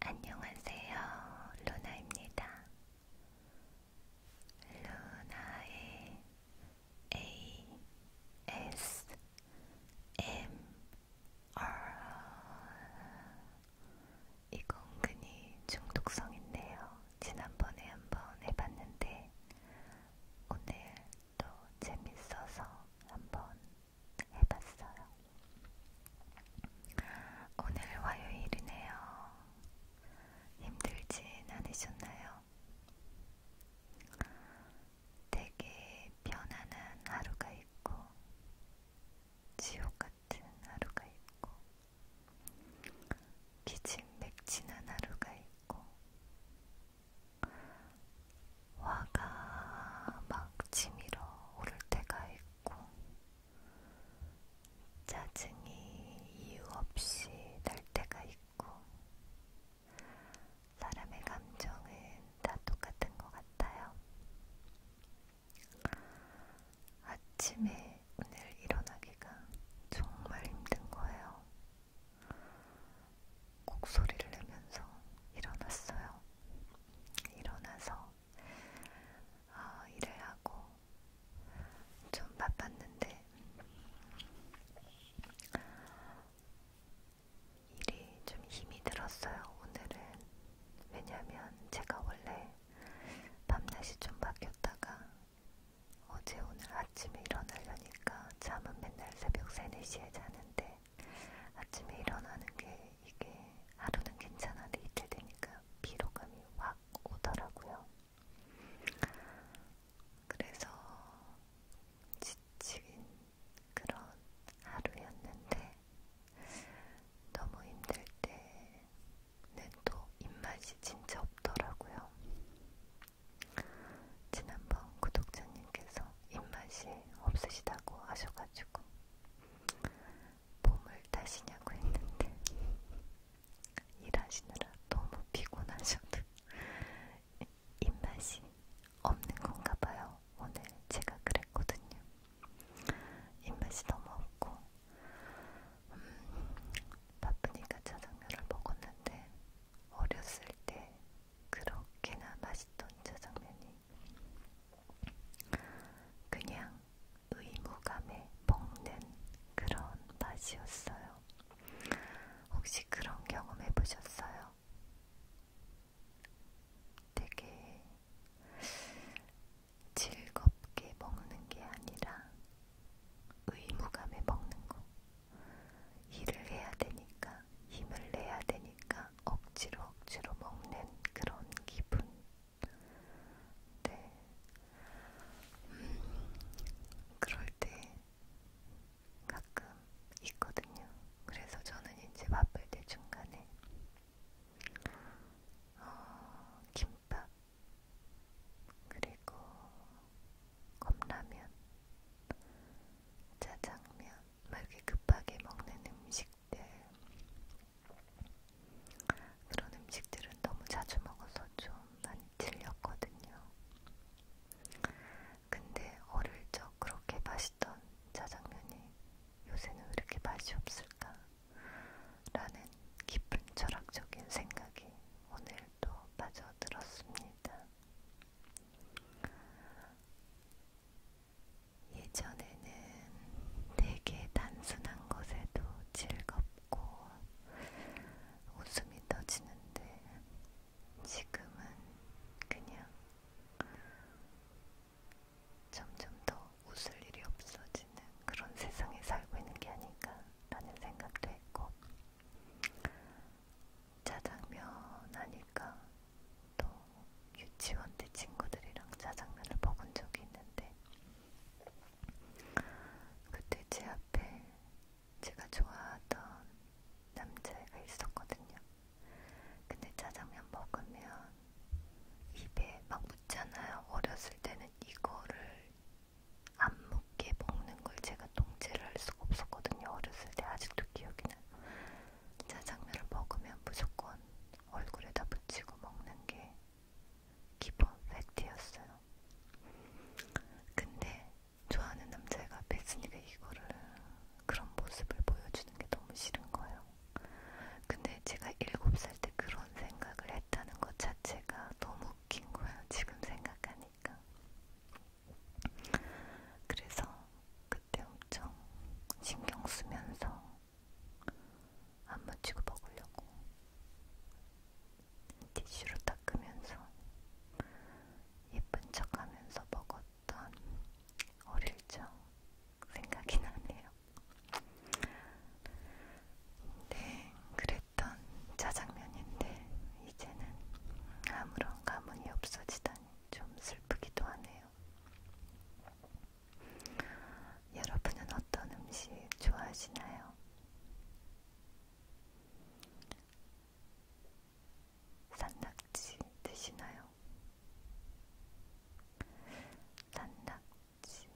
안녕하세요. 루나입니다. 루나의 ASMR 이거 은근히 중독성 있네요. 지난번에 한번 해봤는데 오늘 또 재밌어서 한번 해봤어요. 오늘 화요일이네요. 힘들진 않으셨나요? 되게 편안한 하루가 있고, 지옥 같은 하루가 있고, 기침맥진한 하루가 있고, 화가 막 치밀어 오를 때가 있고 짜증이 이유 없이 날 때가 있고 사람의 감정은 다 똑같은 것 같아요. 아침에 오늘 일어나기가 정말 힘든 거예요. 곡소리를 내면서 일어났어요. 일어나서 어, 일을 하고 좀 바빴는데 일이 좀 힘이 들었어요. 오늘은 왜냐면 제가 원래 밤낮이 좀 바뀌었다가 어제 오늘 아침에 일어나려니까 잠은 맨날 새벽 3, 4시에 자는데 아침에 일어나는 게 이게 하루는 괜찮아도 이틀 되니까 피로감이 확 오더라고요. 그래서 지친 그런 하루였는데 너무 힘들 때는 또 입맛이 진짜 없더라고요. 지난번 구독자님께서 입맛이 없으시다고 하셔가지고 몸을 타시냐고 했는데 일하시느라 너무 피곤하셔도 입맛이 없는 건가 봐요. 오늘 제가 그랬거든요. 입맛이 너무 없고 음, 바쁘니까 짜장면을 먹었는데 어렸을 때 그렇게나 맛있던 짜장면이 그냥 의무감에 먹는 그런 맛이었어요. 혹시 그런 경험 해보셨어요? 되게 즐겁게 먹는 게 아니라 의무감에 먹는 거. 일을 해야 되니까, 힘을 내야 되니까, 그냥 억지로 억지로 먹는 그런 기분. 네. 음, 그럴 때 가끔 있거든요. 그래서 저는 이제 바쁠 때 중간에 어, 김밥 그리고 컵라면 짜장면 막 이렇게 급하게 먹는 음식 음식들 그런 음식들은 너무 자주 먹어서 좀 많이 질렸거든요. 근데 어릴 적 그렇게 맛있던 짜장면이 요새는 왜 이렇게 맛이 없을까? 라는 깊은 철학적인 생각이 오늘도 빠져들었습니다. 예전에는 되게 단순한 것에도 즐겁고 웃음이 터지는데 지금은 그냥 점점 더 웃을 일이 없어지는 그런 세상에 살고 있는 게 아닐까라는 생각도 했고 짜장면 하니까 또 유치원 때 친구들이랑 짜장면을 먹은 적이 있는데 그때 제 앞에 제가 좋아하던 남자애가 있었거든요. 근데 짜장면 먹으면 입에 막 묻잖아요. 어렸을 때는 이거를 안 묻게 먹는 걸 제가 통제를 할 수가 없었거든요. 어렸을 때 아직도 기억이 나요. 짜장면을 먹으면 무조건 얼굴에다 붙이고 먹는 게 기본 팩트였어요. 근데 좋아하는 남자애가 앞에 있으니까 이거를 그런 모습을 보여주는 게 너무 싫은 거예요. 근데 제가 7살 때 그런 생각을 했다는 것 자체가 너무 웃긴 거예요. 지금 생각하니까. 그래서 그때 엄청 신경 쓰면서 안 묻히고 먹으려고 티슈로 닦으면서 예쁜 척하면서 먹었던 어릴 적 생각이 나네요. 네, 그랬던 짜장면인데 이제는 아무런 감흥이 없어지다니 좀 슬프기도 하네요. 여러분은 어떤 음식 좋아하시나요? 산낙지 드시나요? 산낙지도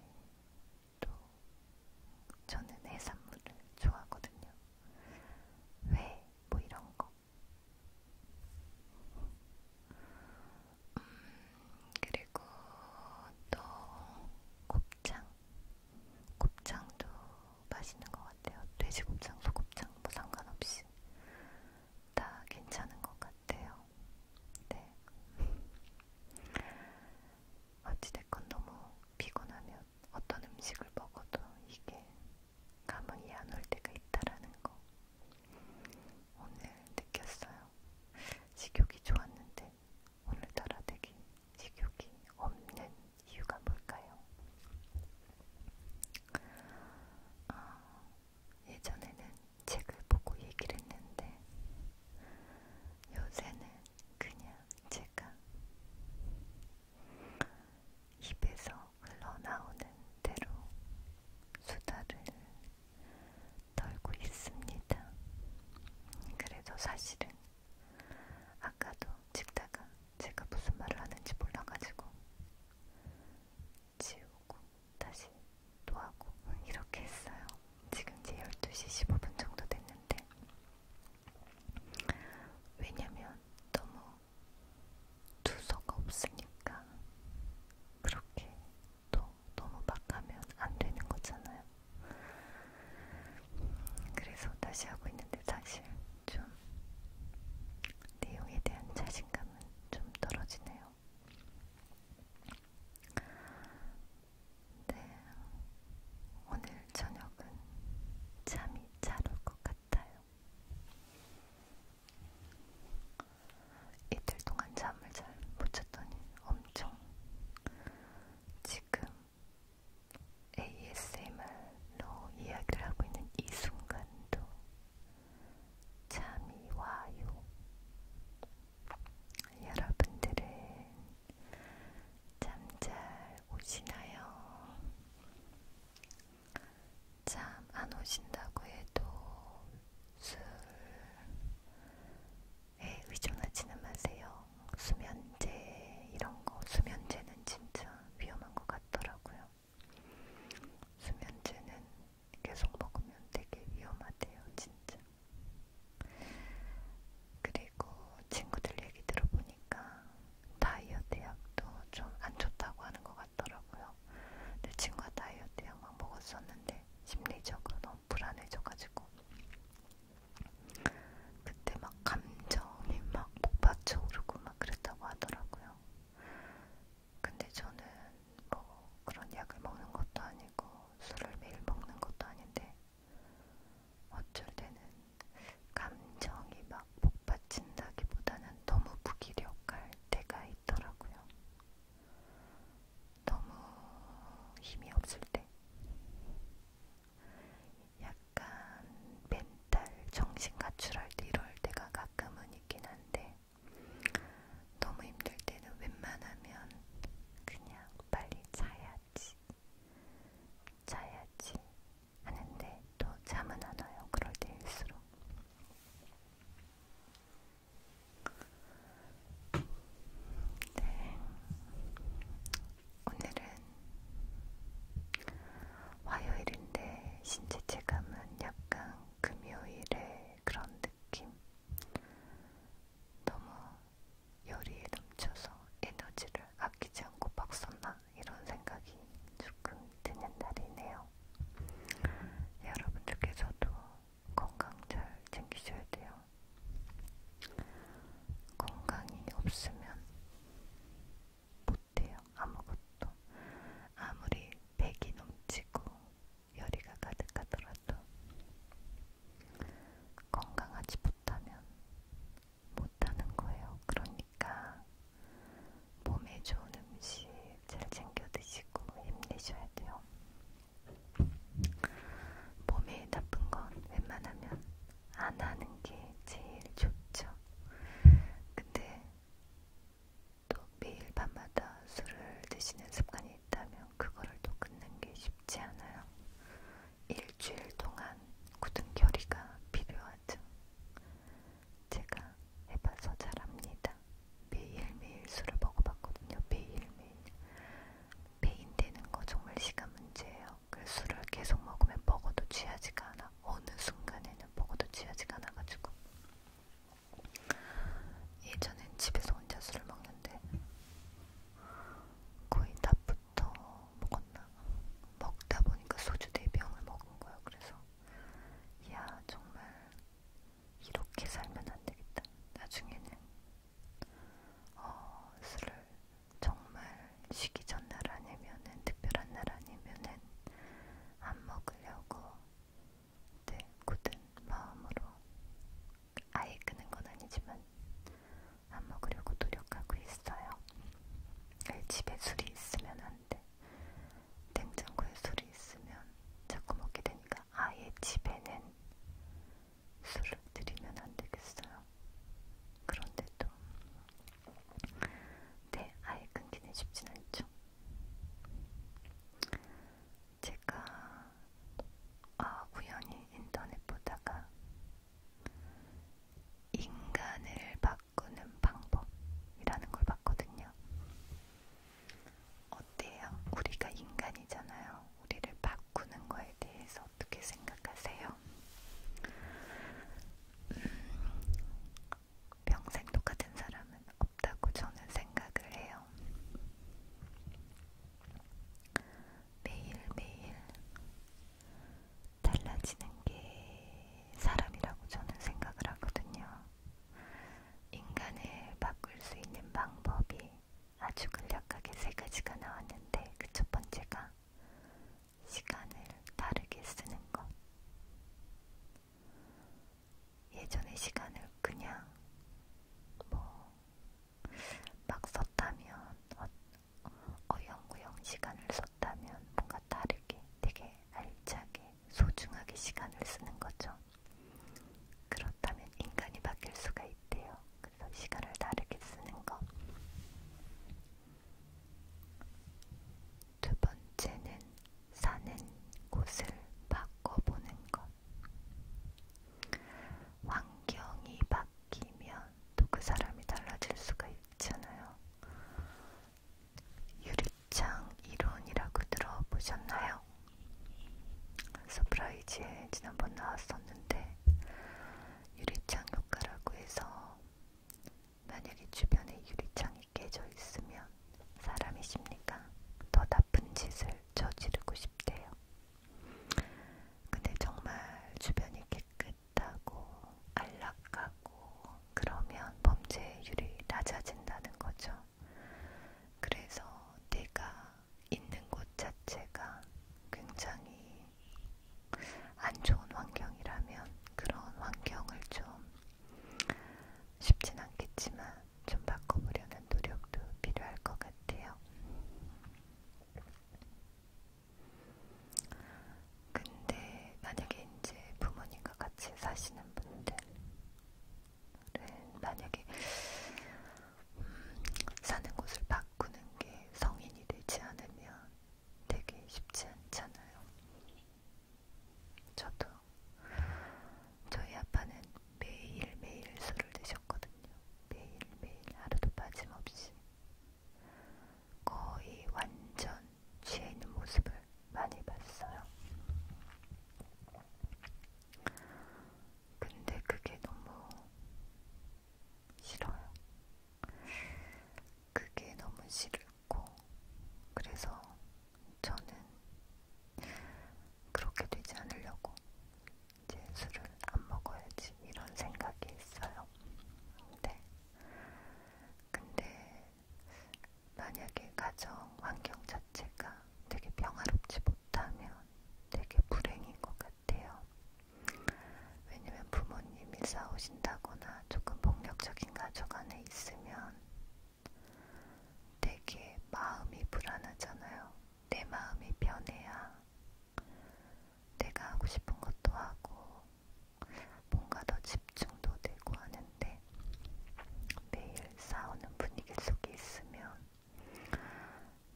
저는 해산물을 좋아하거든요. 회, 뭐 이런 거. 음, 그리고 또 곱창, 곱창도 맛있는 것 같아요. 돼지 곱창, 소곱창 뭐 상관없이 다 괜찮은 것 같아요. 네. 어찌됐건 너무 피곤하면 어떤 음식을 먹어도 이게 감흥이 안 올 때가 있다라는 거. 오늘 느꼈어요. 식욕이 좋았는데 오늘따라 되게 식욕이 없는 이유가 뭘까요? 아, 예전에는 책을 보고 얘기를 했는데 요새는 그냥 제가 입에서 흘러나오는 대로 수다를 떨고 있습니다. 그래서 사실은 아까도 찍다가 제가 무슨 말을 하는지 몰라가지고 지우고 다시 또 하고 이렇게 했어요. 지금 이제 12시 15분 정도 됐는데 왜냐면 너무 두서가 없으니까 그렇게 또 너무 막 하면 안 되는 거잖아요. 그래서 다시 하고 있는데 사실 좀 내용에 대한 자신감은 좀 떨어지네요. 네, 오늘 저녁은 잠이 잘 올 것 같아요. 이틀 동안 잠을 잘 못 잤더니 엄청 지금 ASMR로 이야기를 하고 있는 이 순간도 잠이 와요. 여러분들은 잠 잘 오시나요? 잠 안 오신다고 해도 술에 네, 의존하지는 마세요. 수면제 이런 거 수면제는 진짜 위험한 것 같더라고요. 수면제는 계속 먹으면 되게 위험하대요, 진짜. 그리고 친구들 얘기 들어보니까 다이어트 약도 좀 안 좋다고 하는 것 같더라고요. 내 친구가 다이어트 약만 먹었었는데 심리적으로 너무 불안해져가지고 그때 막 감정이 막 폭발쳐 오르고 막 그랬다고 하더라고요. 근데 저는 뭐 그런 약을 먹는 것도 아니고 술을 매일 먹는 것도 아닌데 어쩔 때는 감정이 막 폭발친다기보다는 너무 무기력할 때가 있더라고요. 너무 힘이 없을 때 약간 멘탈 정신 가출할 때 이럴 때가 가끔은 있긴 한데 너무 힘들 때는 웬만하면 그냥 빨리 자야지 자야지 하는데 또 잠은 안 와요 그럴 때일수록 네. 오늘은 화요일인데 신체체감은 약간 금요일의 그런 느낌. 너무 열이 넘쳐서 에너지를 아끼지 않고 막 썼나 이런 생각이 조금 드는 날이네요. 여러분들께서도 건강 잘 챙기셔야 돼요. 건강이 없으면 못해요. 아무것도. 아무리 백이 넘치고 열이가 가득하더라도 건강하지 못하면 못하는 거예요. 그러니까 몸에 좋은 음식, 잘 챙겨 드시고 힘내셔야 돼요. 몸에 나쁜 건 웬만하면 안 하는 게 제일 좋죠. 근데 또 매일 밤마다 술을 드시는 습관이 있다면 그거를 또 끊는 게 쉽지 않아요. 일주일 동안 굳은 결의가 필요하죠. 제가 해봐서 잘합니다. 매일매일 술을 먹어봤거든요. 매일매일. 배인 되는 거 정말 시간 문제예요. 그 술을 계속 먹으면 먹어도 취하지가 않아. 어느 순간에는 먹어도 취하지가 않아가지고. 예전엔 집에서 혼자 술을 먹는데 거의 낮부터 먹었나? 먹다 보니까 소주 4병을 먹은 거예요. 그래서 야 정말 이렇게 살면 안 되겠다. 나중에는 어, 술을 정말 쉬기 전날 아니면은 특별한 날 아니면은 안 먹으려고 네, 굳은 마음으로 아예 끄는 건 아니지만 안 먹으려고 노력하고 있어요. 집에 술이 있으면 안 돼. 냉장고에 술이 있으면 자꾸 먹게 되니까 아예 집에는 술을 드리면 안 되겠어요. 그런데도 네, 아예 끊기는 쉽진 않죠. 제가 아, 우연히 인터넷 보다가 인간을 바꾸는 방법이라는 걸 봤거든요. 어때요? 우리가 인간이잖아요. 우리를 바꾸는 거에 대해서 어떻게 생각하세요? 음, 평생 똑같은 사람은 없다고 저는 생각을 해요. 매일매일 달라지는 게 사람이라고 저는 생각을 하거든요. 인간을 바꿀 수 있는 방법이 아주 간략하게 세 가지가 나왔는데 그 첫 번째가 시간을 다르게 쓰는 것. 예전에 시간을 그냥 뭐 막 썼다면 어, 어영구영 시간을 썼다면 뭔가 다르게 되게 알차게 소중하게 시간을 쓰는 거죠. 그렇다면 인간이 바뀔 수가 있대요. 그래서 시간을 다르게 쓰는 것. 두 번째는 사는 곳을 바꿔보는 것. 환경이 바뀌면 또 그 사람이 달라질 수가 있잖아요. 유리창 이론이라고 들어보셨나요? 서프라이즈에 지난번 나왔었는데 유리창 효과라고 해서 만약에 주변에 유리창이 깨져 있으면 사람이 십니까? 더 나쁜 짓을 저지르고 싶대요. 근데 정말 주변이 깨끗하고 안락하고 그러면 범죄율이 낮아진다는 거죠. 그래서 내가 있는 곳 자체가 굉장히 안 좋은 환경이라면 그런 환경을 좀 쉽진 않겠지만 좀 바꿔보려는 노력도 필요할 것 같아요. 근데 만약에 이제 부모님과 같이 사시는 분들 만약에 음, 사는 곳을 바꾸는 게 성인이 되지 않으면 되게 쉽지 않잖아요. 저도 저희 아빠는 매일매일 술을 드셨거든요. 매일매일 하루도 빠짐없이 거의 완전 취해 있는 모습을 많이 봤어요. 근데 그게 너무 싫어요. 그게 너무 싫고, 그래서 저는 그렇게 되지 않으려고 이제 술을 안 먹어야지 이런 생각이 있어요. 근데, 네. 근데 만약에 가정 환경 자체가 되게 평화롭지 못하면 되게 불행인 것 같아요. 왜냐면 부모님이 싸우신다거나 조금 폭력적인 가족 안에 있으면 되게 마음이 불안하잖아요. 내 마음이 변해야 내가 하고 싶은 것도 하고 뭔가 더 집중도 되고 하는데 매일 싸우는 분위기 속에 있으면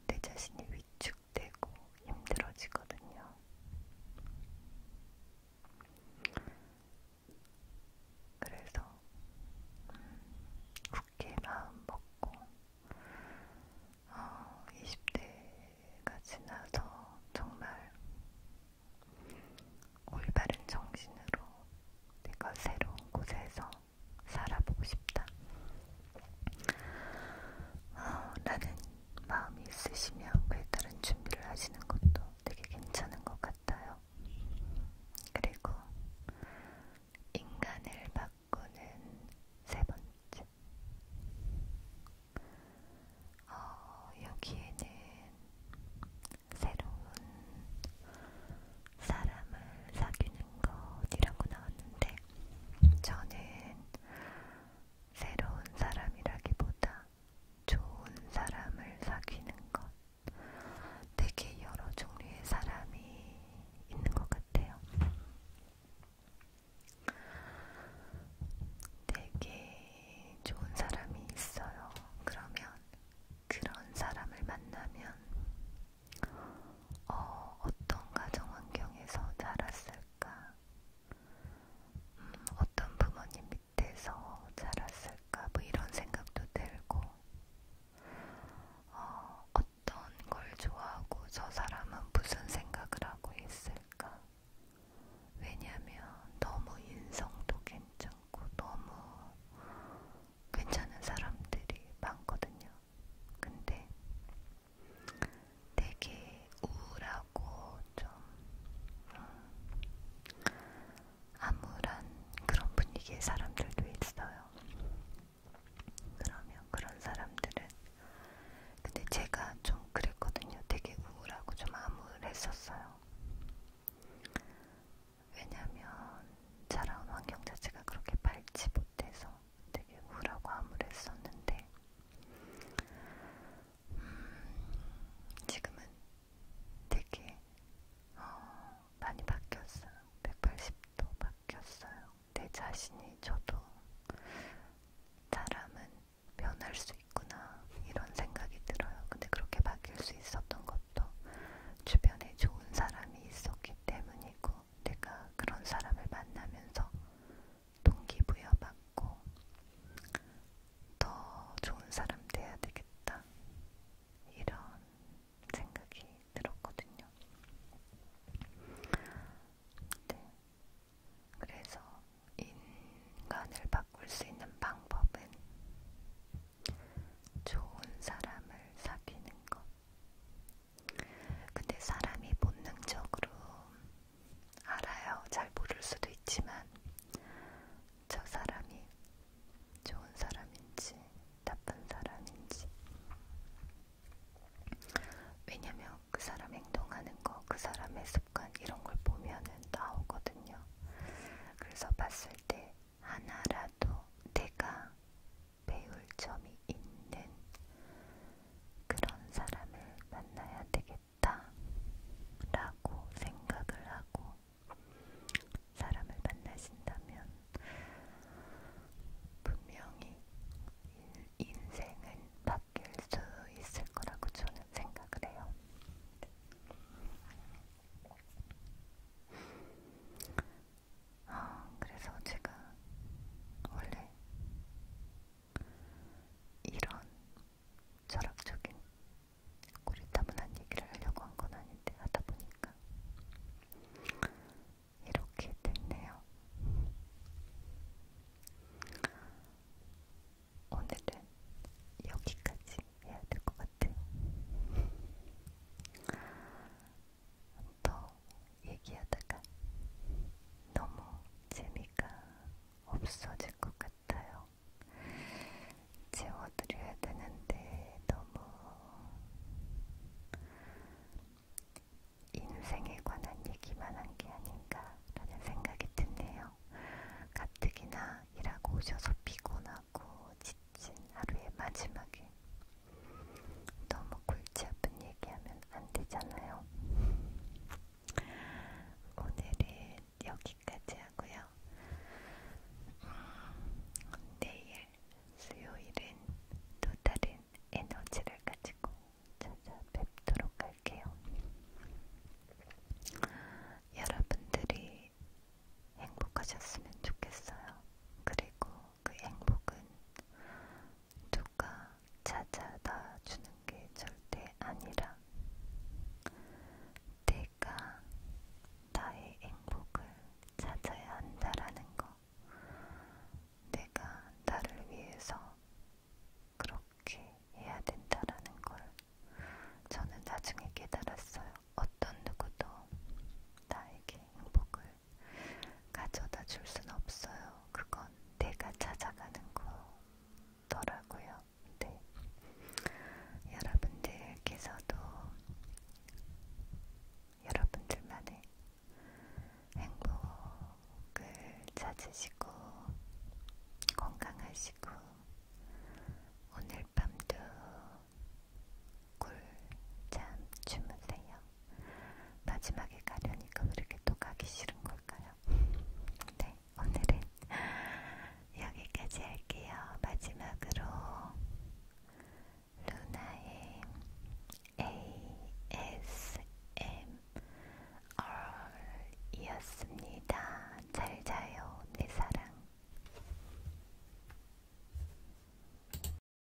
내 자신이 위축되고 힘들어지거든요. 그래서 음, 굳게 마음 먹고 어, 20대가 지나서 정말 올바른 정신으로 내가 새로운 곳에서 살아보고 싶다. 어, 라는 마음이 있으시며 그에 따른 준비를 하시는 것도 되게 괜찮은 것 같아요. 그리고 인간을 바꾸는 세 번째. 어, 여기에는 새로운 사람을 사귀는 것이라고 나왔는데 저는 새로운 사람이라기보다 좋은 사람을 사귀는 것 되게 여러 종류의 사람이 있는 것 같아요. 되게 좋은 사람이 있어요. 그러면 그런 사람을 만나면 어, 어떤 가정 환경에서 자랐을까? 음, 어떤 부모님 밑에서 자랐을까? 뭐 이런 생각도 들고, 어, 어떤 걸 좋아하고 저 사람은 무슨 생각을 하고 있을까? 왜냐면 너무 인성도 괜찮고 너무 괜찮은 사람들이 많거든요. 근데 되게 우울하고 좀 음, 암울한 그런 분위기의 사람들도 있어요. 그러면 그런 사람들은 근데 제가 좀 그랬거든요. 되게 우울하고 좀 암울했었어요. 왜냐면 자라온 환경 자체가 그렇게 밝지 못해서 되게 우울하고 암울했었는데 음, 지금은 되게 어, 많이 바뀌었어요. 180도 바뀌었어요. 내 자신이 저도 사람은 변할 수 있구나 이런 생각이 들어요. 근데 그렇게 바뀔 수 있었던 것도 주변에 좋은 사람이 있었기 때문이고 내가 그런 사람을 만나면서 동기부여받고 더 좋은 사람 돼야 되겠다 이런 생각이 들었거든요. 네. 그래서 인간을 바꿀 수 있는 방법은 좋은 사람을 사귀는 것, 근데 사람이 본능적으로 알아요. 잘 모를 수도 있지만 저 사람이 좋은 사람인지 나쁜 사람인지 왜냐면 그 사람 행동하는 거, 그 사람의 습관 이런 걸 보면은 나오거든요. 그래서 봤을 때 하나라도 내가 배울 점이 있는 그런 사람을 만나야 되겠다 라고 생각을 하고 사람을 만나신다면 분명히 인생은 바뀔 수 있을 거라고 저는 생각을 해요. 아, 그래서 제가 원래 이런 철학적인 고리타분한 얘기를 하려고 한 건 아닌데 하다 보니까 이렇게 됐네요. 오늘은 여기까지 해야 될 것 같아요. 더 얘기하다가 너무 재미가 없어질 것 같아요. 재워드려야 되는데 너무 인생에 관한 얘기만 한 게 아닌가라는 생각이 드네요. 가뜩이나 일하고 오셔서 피곤하고 지친 하루의 마지막에 너무 골치 아픈 얘기하면 안 되잖아요. 오늘은 여기까지 하고요. 음, 내일 수요일은 또 다른 에너지를 가지고 찾아뵙도록 할게요. 여러분들이 행복하셨으면 좋겠어요. 그리고 그 행복은 누가 찾아다 주는 게 절대 아니라 내가 나의 행복을 찾아야 한다라는 거. 내가 나를 위해서 그렇게 해야 된다라는 걸 저는 나중에 깨달았어요. 어떤 누구도 나에게 행복을 가져다 줄 순 없어요. 그건 내가 찾아가는 거더라고요. 네. 여러분들께서도 여러분들만의 행복을 찾으시고 건강하시고 오늘 밤도 꿀잠 주무세요. 마지막에 가려니까 그렇게 또 가기 싫은 걸까요? 네, 오늘은 여기까지 할게요. 마지막으로 루나의 ASMR이었습니다. 잘 자요, 내 사랑.